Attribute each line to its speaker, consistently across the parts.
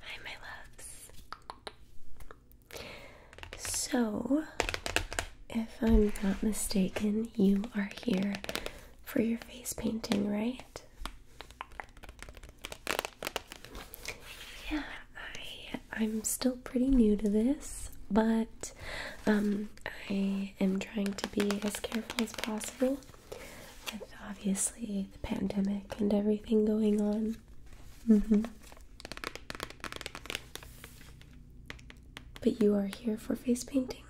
Speaker 1: Hi, my loves. So, if I'm not mistaken, you are here for your face painting, right? Yeah, I am still pretty new to this, but um, I am trying to be as careful as possible with obviously the pandemic and everything going on. Mm-hmm. But you are here for face painting.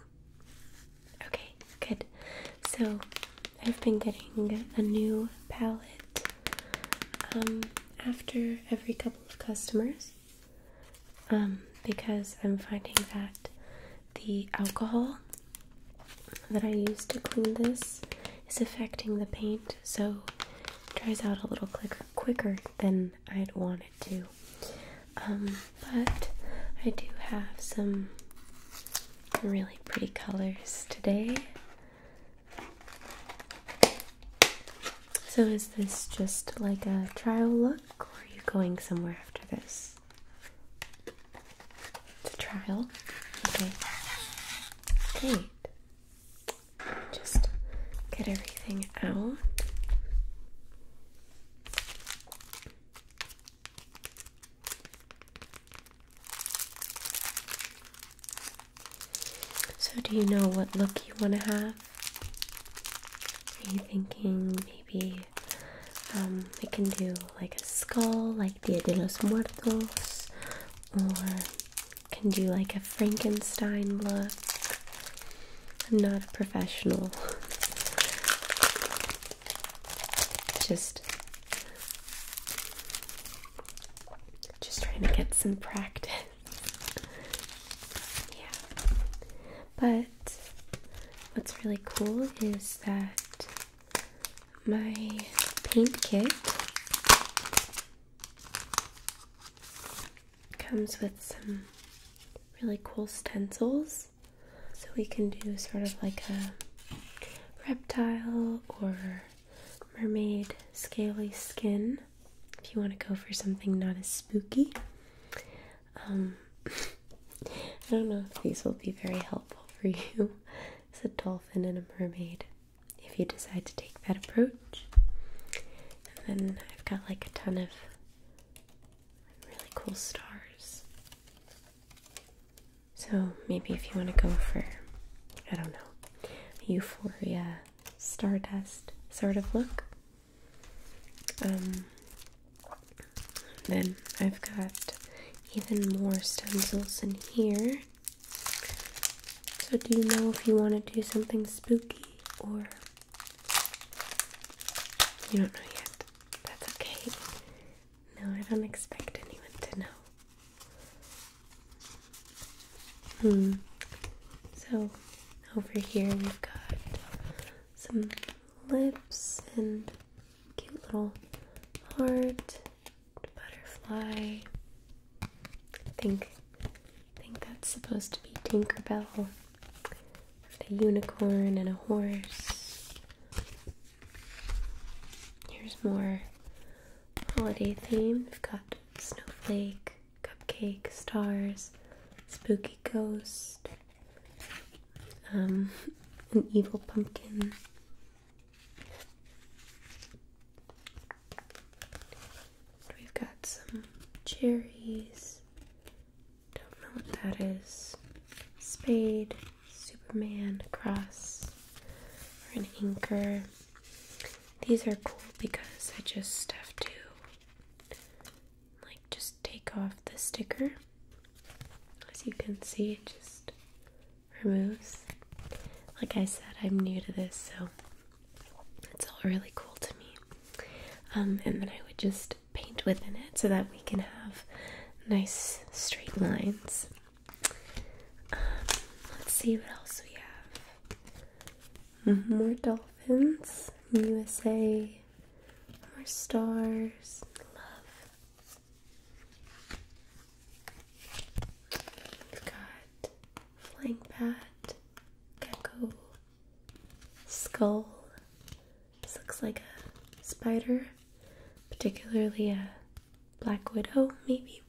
Speaker 1: Okay, good. So I've been getting a new palette um, after every couple of customers um, because I'm finding that the alcohol that I use to clean this is affecting the paint, so it dries out a little quicker, than I'd want it to. Um, but I do have some really pretty colors today. So is this just like a trial look, or are you going somewhere after this? It's a trial. Okay. Great. Just get everything out. So, do you know what look you want to have? Are you thinking maybe um, I can do like a skull, like Dia de los Muertos, or can do like a Frankenstein look. I'm not a professional. just just trying to get some practice. yeah. But what's really cool is that my paint kit comes with some really cool stencils so we can do sort of like a reptile or mermaid scaly skin if you want to go for something not as spooky um, I don't know if these will be very helpful for you. It's a dolphin and a mermaid if you decide to take that approach. And then I've got like a ton of really cool stars. So maybe if you want to go for, I don't know, euphoria, stardust sort of look. Um, then I've got even more stencils in here. So, do you know if you want to do something spooky or. You don't know yet. That's okay. No, I don't expect anyone to know. Hmm. So, over here we've got some lips and cute little heart butterfly. I think I think that's supposed to be Tinkerbell with a unicorn and a horse. Here's more holiday theme. We've got snowflake, cupcake, stars, spooky ghost, um, an evil pumpkin, we've got some cherries. Don't know what that is. Spade, Superman, cross, or an anchor. These are cool because I just have to like just take off the sticker. As you can see, it just removes. Like I said, I'm new to this, so it's all really cool to me. Um, and then I would just paint within it so that we can have nice straight lines. Um, let's see what else we have. More dolphins, USA, more stars, love. We've got flying bat, gecko, skull. This looks like a spider, particularly a black widow, maybe.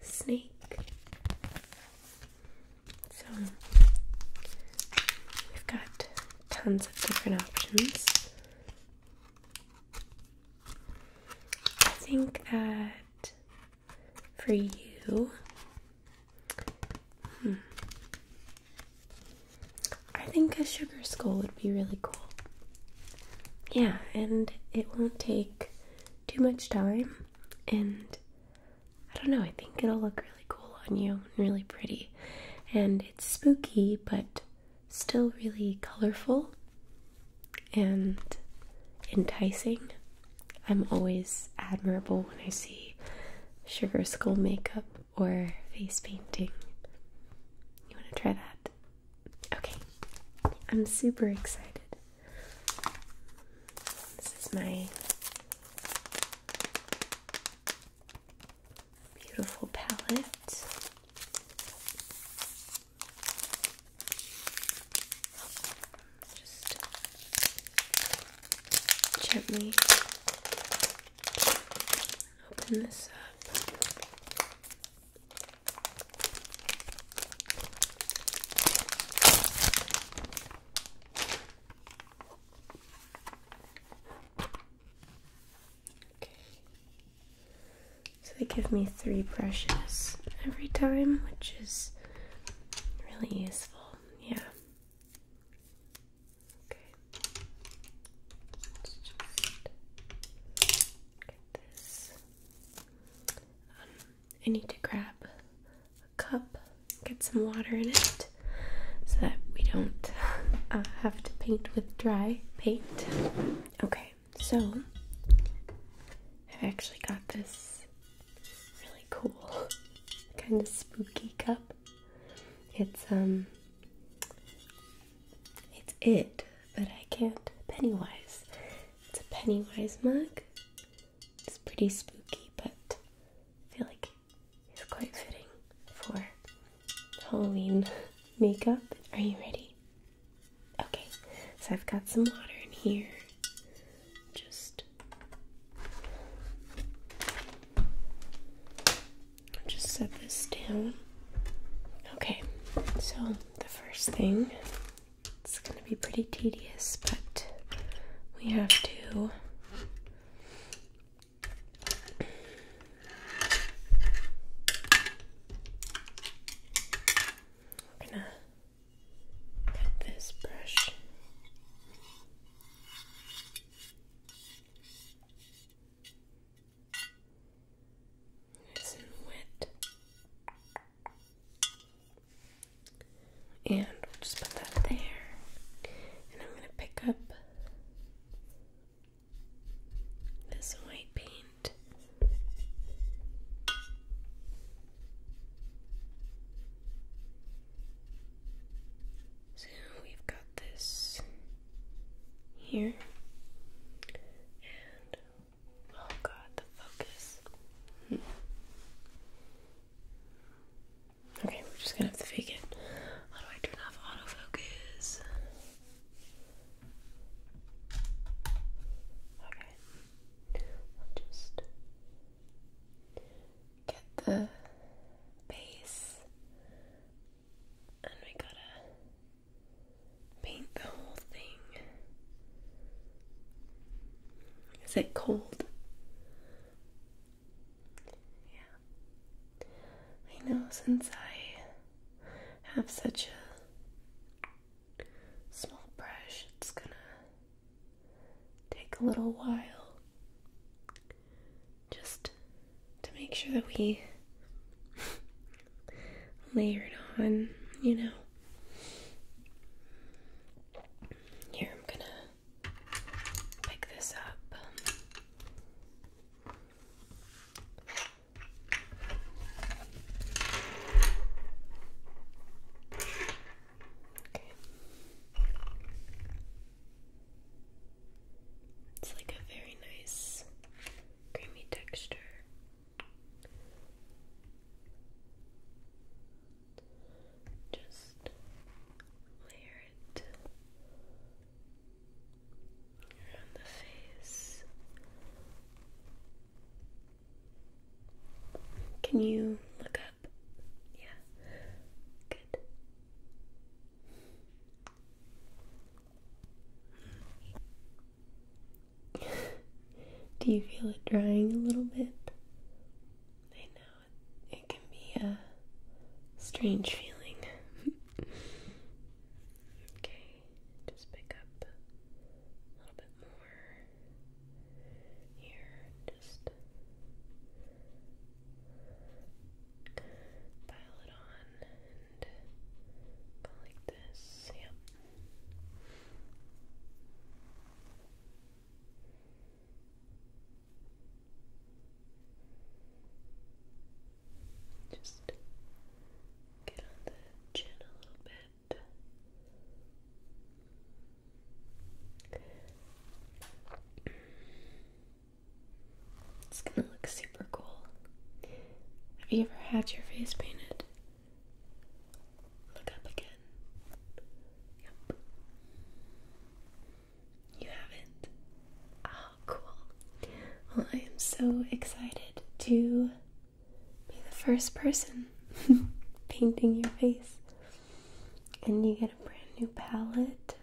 Speaker 1: Snake. So we've got tons of different options. I think that uh, for you. Hmm. I think a sugar skull would be really cool. Yeah, and it won't take too much time. And I don't know, I think it'll look really cool on you and really pretty. And it's spooky, but still really colorful and enticing. I'm always admirable when I see sugar skull makeup or face painting. You want to try that? Okay, I'm super excited. This is my beautiful palette. Just gently open this up. Okay. So they give me three brushes every time, which is really useful. Yeah. Okay. Let's just get this. Um, I need to grab a cup, get some water in it, so that we don't uh, have to paint with dry paint. Okay so I've actually got this really cool, kind of spooky cup. It's, um, it's it, but I can't. Pennywise. It's a Pennywise mug. It's pretty spooky, but I feel like it's quite fitting for Halloween makeup. Are you ready? Okay, so I've got some water in here. Just just set this down. Okay, so the first thing it's gonna be pretty tedious, but we have to we're gonna this brush. Nice and wet. And just put that there. And I'm going to pick up this white paint so we've got this here, and oh god, the focus. Hmm. Okay, we're just gonna have to fake it. How do I turn off autofocus? Okay. I'll just get the base and we gotta paint the whole thing. Is it cold? Yeah. I know since I have such a small brush, it's gonna take a little while just to make sure that we layer it on, you know. Here, I'm gonna pick this up. It's like a very nice creamy texture. Just layer it around the face. Can you look up? Yeah. Good. Do you feel it drying a little bit? I know it, can be a strange feeling. okay, just pick up a little bit more over here, just pile it on and go like this. Yep. Just get on the chin a little bit. Mm. It's gonna look super cool. Have you ever had your face painted? Look up again. Yep. You haven't. Oh, cool. Well, I am so excited to be the first person painting your face. And you get a brand new palette.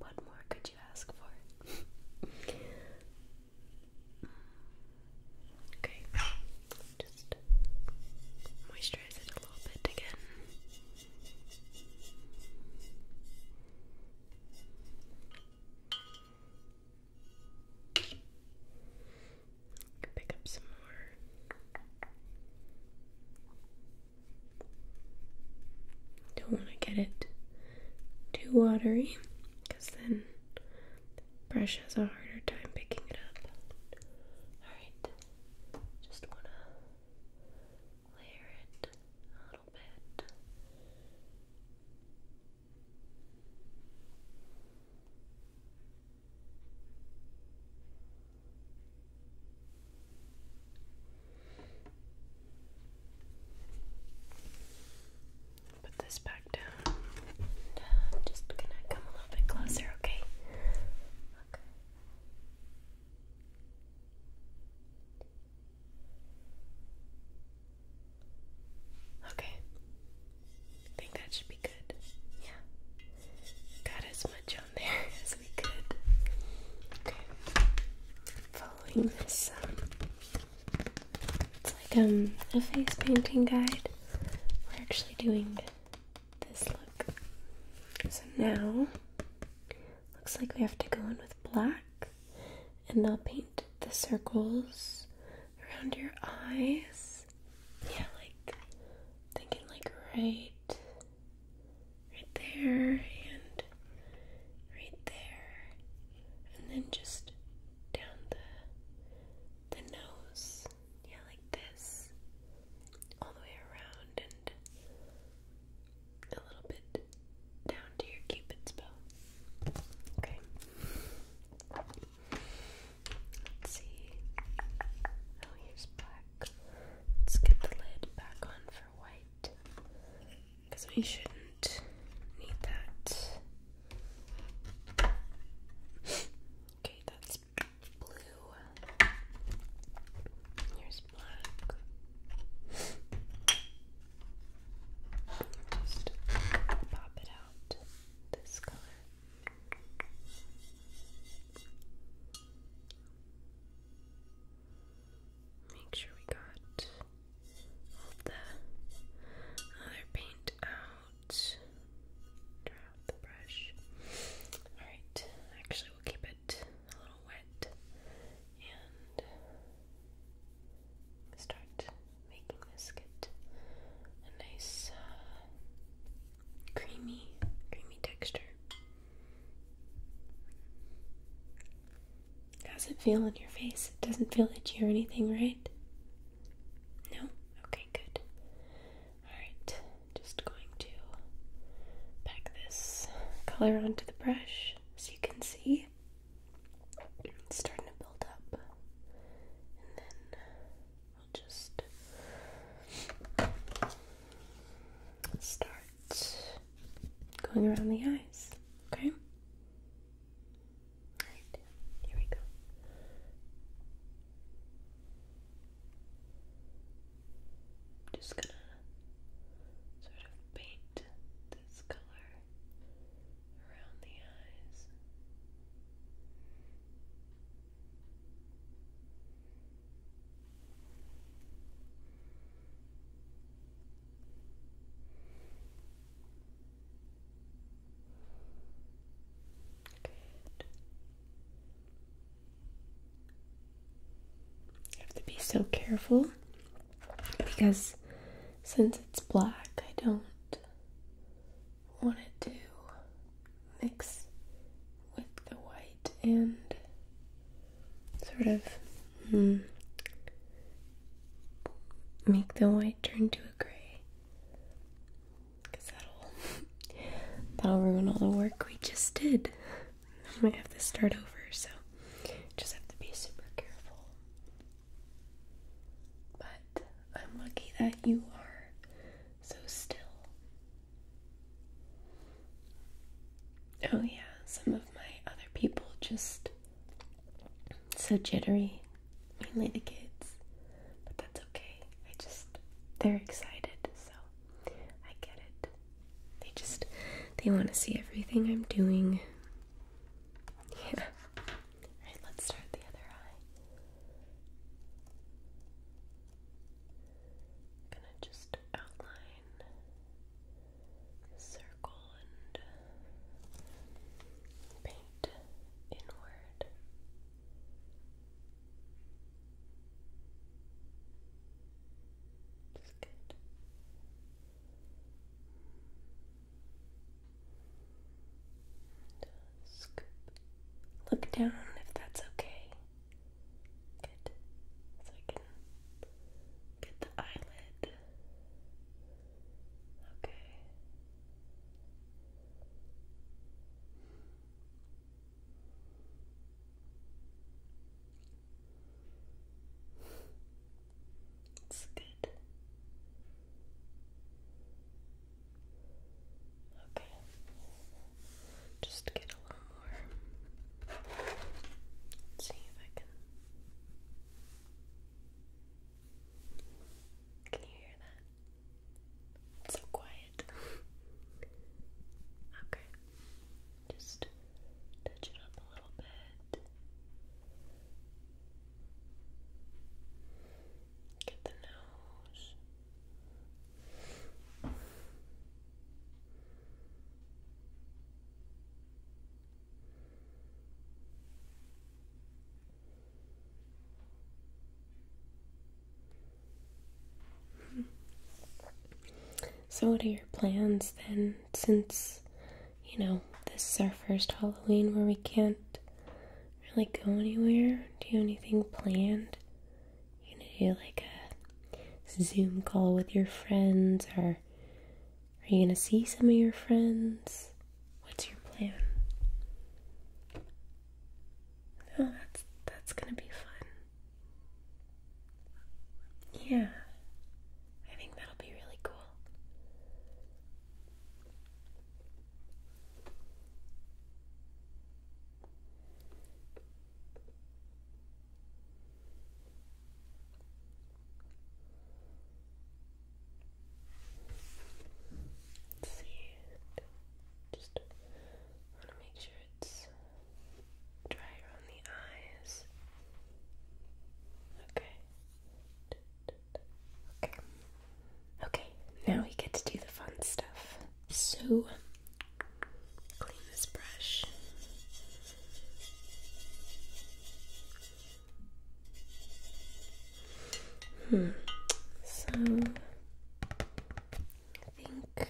Speaker 1: What more could you ask for? okay, just moisturize it a little bit again. Can pick up some more. Don't want to get it too watery because then the brush has a harder time picking it up. Alright, just want to layer it a little bit. Put this back down. just gonna come a little bit closer, Okay. Okay. I think that should be good. Yeah. Got as much on there as we could. Okay. Following this, um, it's like um, a face painting guide. We're actually doing this look. So now, looks like we have to go in with black, and I'll paint the circles around your eyes. Yeah, like thinking like right right there and right there. And then just down the the nose. Yeah, like this. All the way around and a little bit down to your cupid's bow. Okay. Let's see. Oh, here's black. Let's get the lid back on for white. Because we shouldn't need that. Okay, that's blue. Here's black. Just pop it out this color. Make sure we got all the other paint out. Dry out the brush. Alright, actually, we'll keep it a little wet and start making this get a nice uh, creamy, creamy texture. How's it feel on your face? It doesn't feel itchy or anything, right? No? Okay, good. Alright, just going to pack this color onto the brush. so you can see, it's starting to build up. And then We'll just start going around the eyes, okay? Alright, here we go. Just gonna sort of paint this color around the eyes. I have to be so careful because since it's black, I don't want it to mix with the white and sort of hmm, make the white turn to a gray because that'll that'll ruin all the work we just did I might have to start over so just have to be super careful but I'm lucky that you are so still. Oh, yeah, some of my other people just so jittery, mainly the kids, but that's okay. I just, they're excited, so I get it. They just, they want to see everything I'm doing. Yeah. Alright, let's start the other eye. I'm gonna just outline circle and paint inward. That's good. And, uh, look down if that's okay. Good. So I can get the eyelid. Okay. It's good. Okay. Just get a little more. see if I can. Can you hear that? so quiet. okay. Just touch it up a little bit. Get the nose. So, what are your plans then? Since, you know, this is our first Halloween where we can't really go anywhere, do anything planned? You need to do like a Zoom call with your friends, or are you going to see some of your friends? What's your plan? Oh, that's that's going to be fun. Yeah. I think that'll be really cool see. Just want to make sure it's drier on the eyes. Okay. Okay. Okay, now we get to do the fun stuff. So clean this brush. Hmm. So I think I'm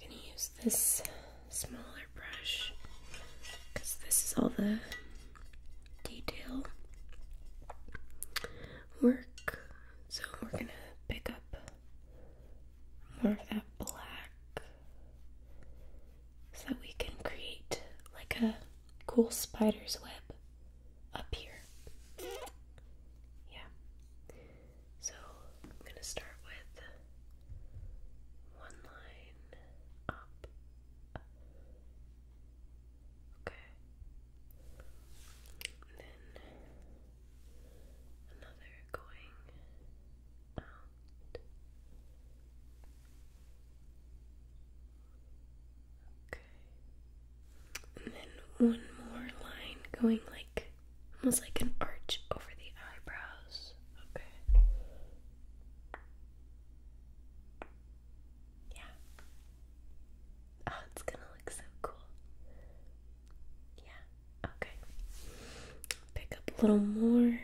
Speaker 1: gonna use this smaller brush because this is all the detail work so we're gonna pick up more of that black so that we can create like a cool spider's web up here. Yeah. So I'm gonna start with one line up. Okay then another going out. Okay. And then one more line going like almost like an arch over the eyebrows. Okay. Yeah. Oh, it's gonna look so cool. Yeah, okay. Pick up a little more.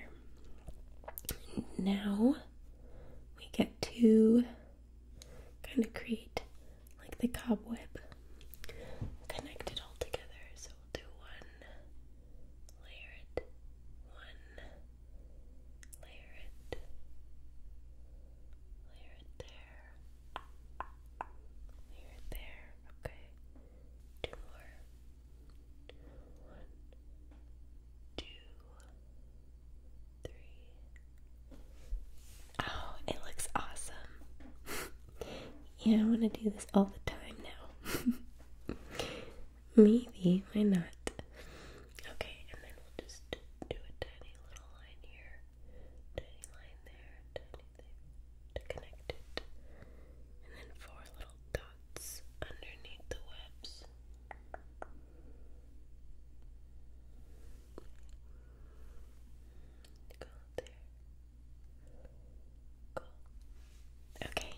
Speaker 1: Now we get to kind of create like the cobweb connect it all together. So we'll do one, layer it, one, layer it, layer it there. You're there, okay. Two more. One, two, three. Oh, it looks awesome. yeah, I want to do this all the time now. Maybe, why not? Okay, and then we'll just do a tiny little line here tiny line there, to connect it, and then four little dots underneath the webs. Go there. Cool. Okay.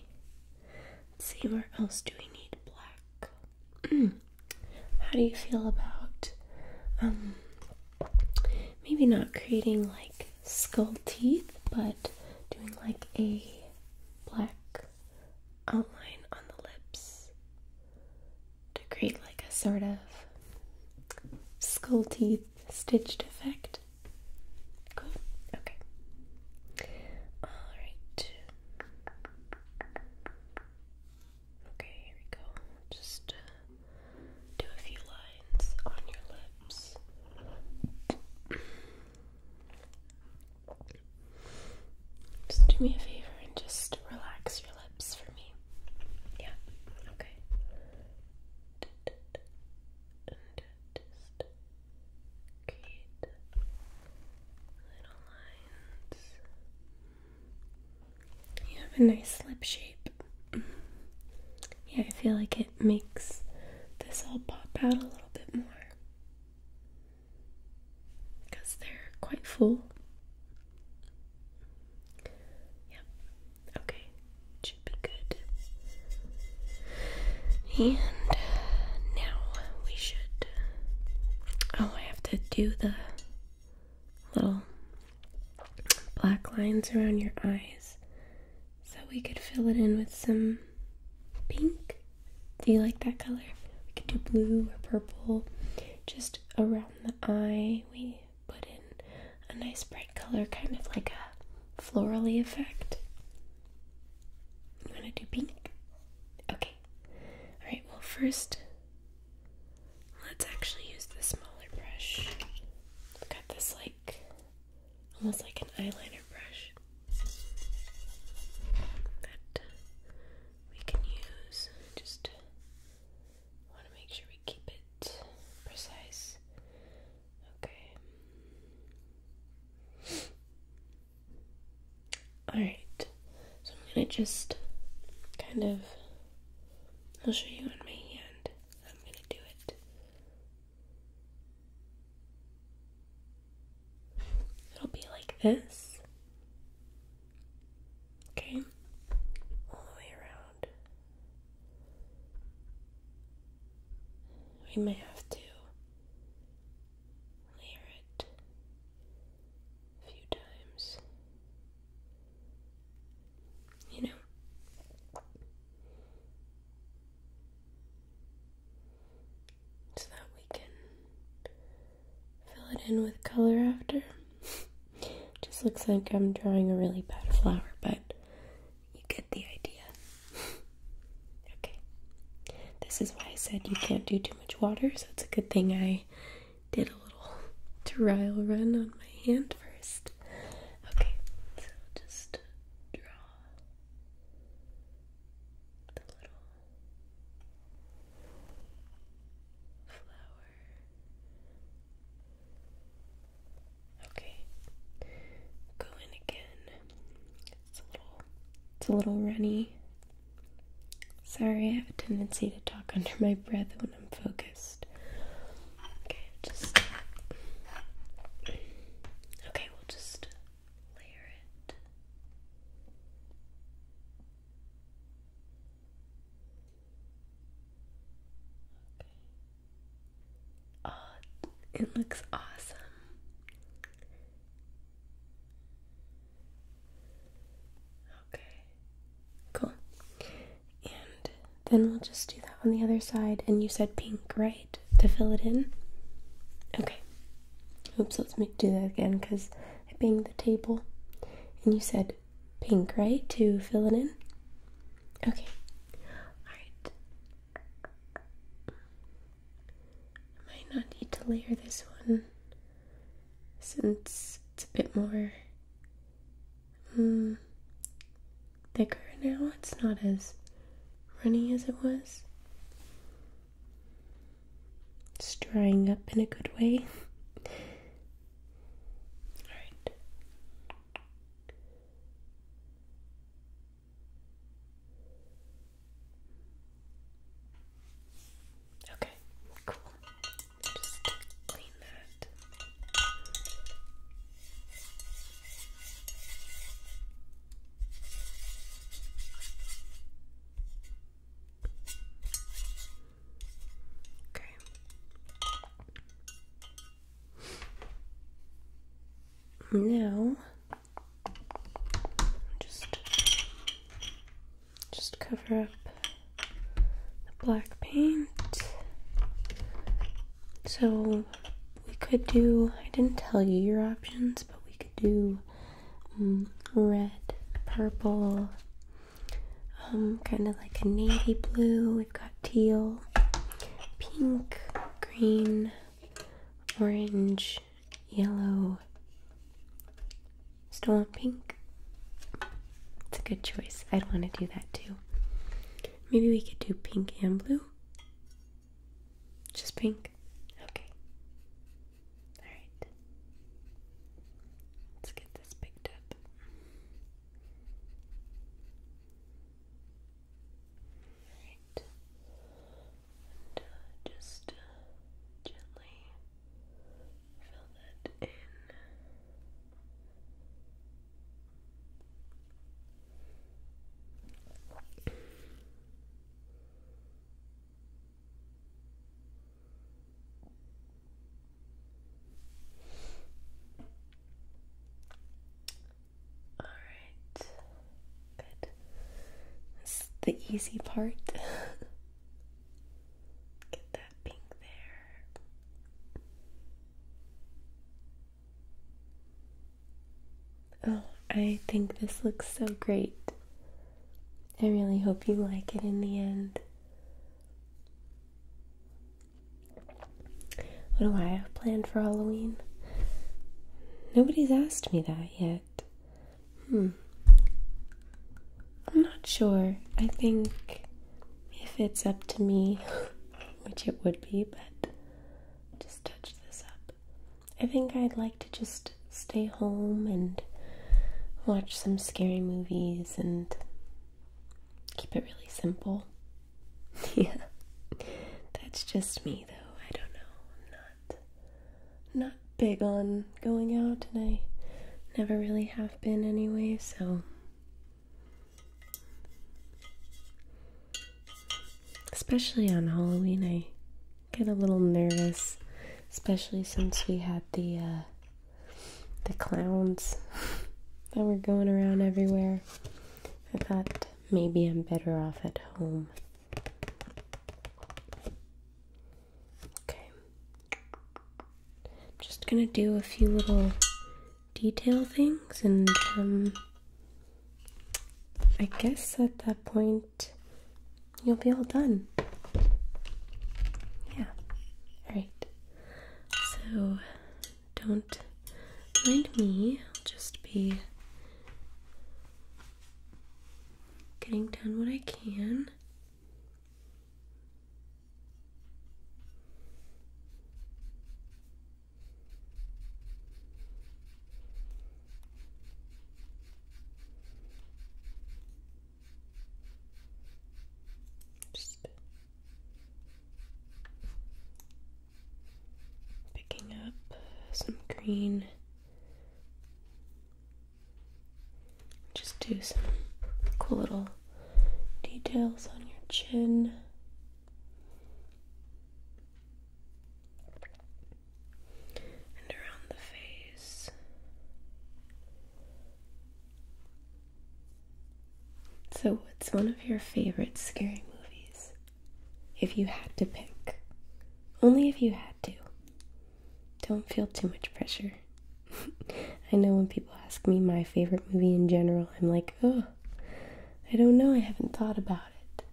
Speaker 1: see where else do we need black? How do you feel about um maybe not creating like skull teeth, but doing like a black outline on the lips to create like a sort of skull teeth stitched effect. Cool. Okay. All right. Okay, here we go. Just uh, do a few lines on your lips. Just do me a favor and just relax your lips for me. Yeah, okay. little lines. You have a nice lip shape. Yeah, I feel like it makes this all pop out a little bit more because they're quite full. Yep. Okay. Should be good. And now we should. Oh, I have to do the little black lines around your eyes so we could fill it in with some pink. Do you like that color? We could do blue or purple. Just around the eye, we put in a nice bright color, kind of like a florally effect. You want to do pink? Okay. Alright, well, first Let's actually use the smaller brush. I've got this like almost like an eyeliner brush that we can use. Just want to make sure we keep it precise. Okay. Alright, so I'm going to just kind of. I'll show you on my hand. I'm going to do it. It'll be like this. Okay? All the way around. We may have to layer it a few times you know. So that we can fill it in with color after. Just looks like I'm drawing a really bad flower, but you get the idea. okay. This is why I said you can't do too much water, so it's a good thing I did a little trial run on my hand first. Okay, so just draw the little flower. Okay, go in again. It's a little, it's a little runny. Sorry, I have a tendency to talk under my breath when I'm focused. Okay, just Okay, we'll just layer it. Okay. Oh, it looks awesome. Okay. Cool. And then we'll just do that on the other side. And you said pink, right? To fill it in? Okay. Oops, let's make, do that again because I banged the table. And you said pink, right? To fill it in? Okay. Alright. I might not need to layer this one since it's a bit more Hmm. thicker now. It's not as runny as it was. It's drying up in a good way. Alright. Okay, cool just clean that. Okay. Now just just cover up the black paint. So we could do, I didn't tell you your options, but we could do mm, red, purple, um, kind of like a navy blue. We've got teal, pink, green, orange, yellow, still want pink. It's a good choice. I'd want to do that too. Maybe we could do pink and blue. Just pink. Okay. Alright. Let's get this picked up. Alright. Uh, just uh, gently fill that in. All right, good. That's the easy part. Get that pink there. Oh, I think this looks so great. I really hope you like it in the end. What do I have planned for Halloween? Nobody's asked me that yet. Hmm. I'm not sure. I think if it's up to me, which it would be, but just touch this up. I think I'd like to just stay home and watch some scary movies and keep it really simple. yeah. That's just me though. I don't know. not not big on going out and I never really have been anyway, so Especially on Halloween, I get a little nervous, especially since we had the uh, the clowns that were going around everywhere. I thought maybe I'm better off at home. Okay, just gonna do a few little detail things and um, I guess at that point you'll be all done. Yeah. Alright. So don't mind me, just be getting done what I can. Just picking up some green. Just do some cool little details on your chin and around the face. So, what's one of your favorite scary movies? If you had to pick, only if you had to. Don't feel too much pressure. I know when people ask me my favorite movie in general, I'm like, oh, I don't know, I haven't thought about it.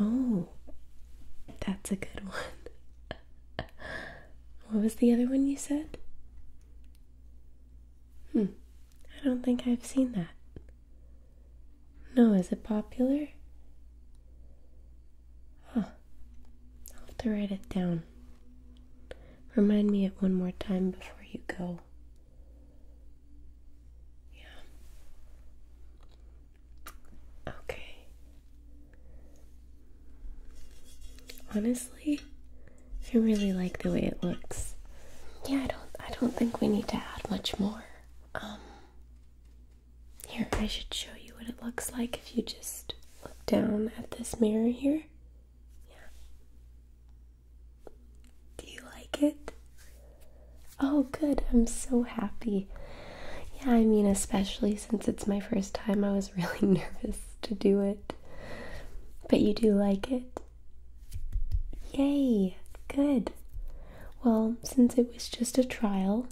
Speaker 1: Oh, that's a good one. what was the other one you said? Hmm, I don't think I've seen that. No, is it popular? Huh. I'll have to write it down. Remind me it one more time before you go. Yeah. Okay. Honestly, I really like the way it looks. Yeah, I don't I don't think we need to add much more. Um here, I should show you what it looks like if you just look down at this mirror here. Yeah. Do you like it? Oh, good. I'm so happy. Yeah, I mean, especially since it's my first time, I was really nervous to do it. But you do like it. Yay, good. Well, since it was just a trial,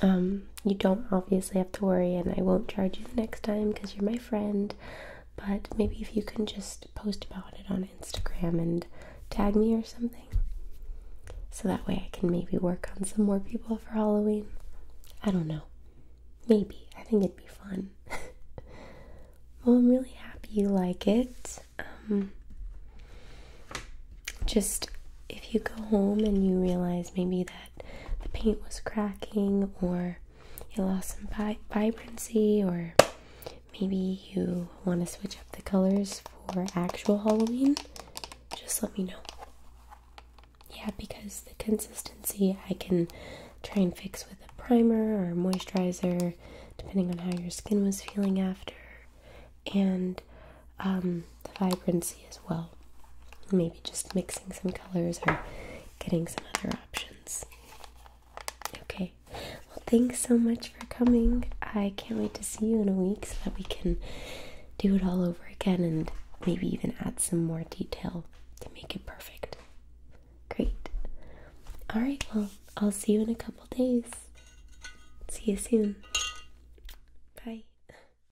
Speaker 1: um, you don't obviously have to worry, and I won't charge you the next time because you're my friend. But maybe if you can just post about it on Instagram and tag me or something. So that way I can maybe work on some more people for Halloween. I don't know. Maybe. I think it'd be fun. well, I'm really happy you like it. Um, just if you go home and you realize maybe that the paint was cracking or you lost some vibrancy or maybe you want to switch up the colors for actual Halloween, just let me know. Yeah, because the consistency I can try and fix with a primer or moisturizer, depending on how your skin was feeling after. And the um, vibrancy as well. Maybe just mixing some colors or getting some other options. Okay, well, thanks so much for coming. I can't wait to see you in a week so that we can do it all over again and maybe even add some more detail to make it perfect. Great. All right, well, I'll see you in a couple days. See you soon. Bye.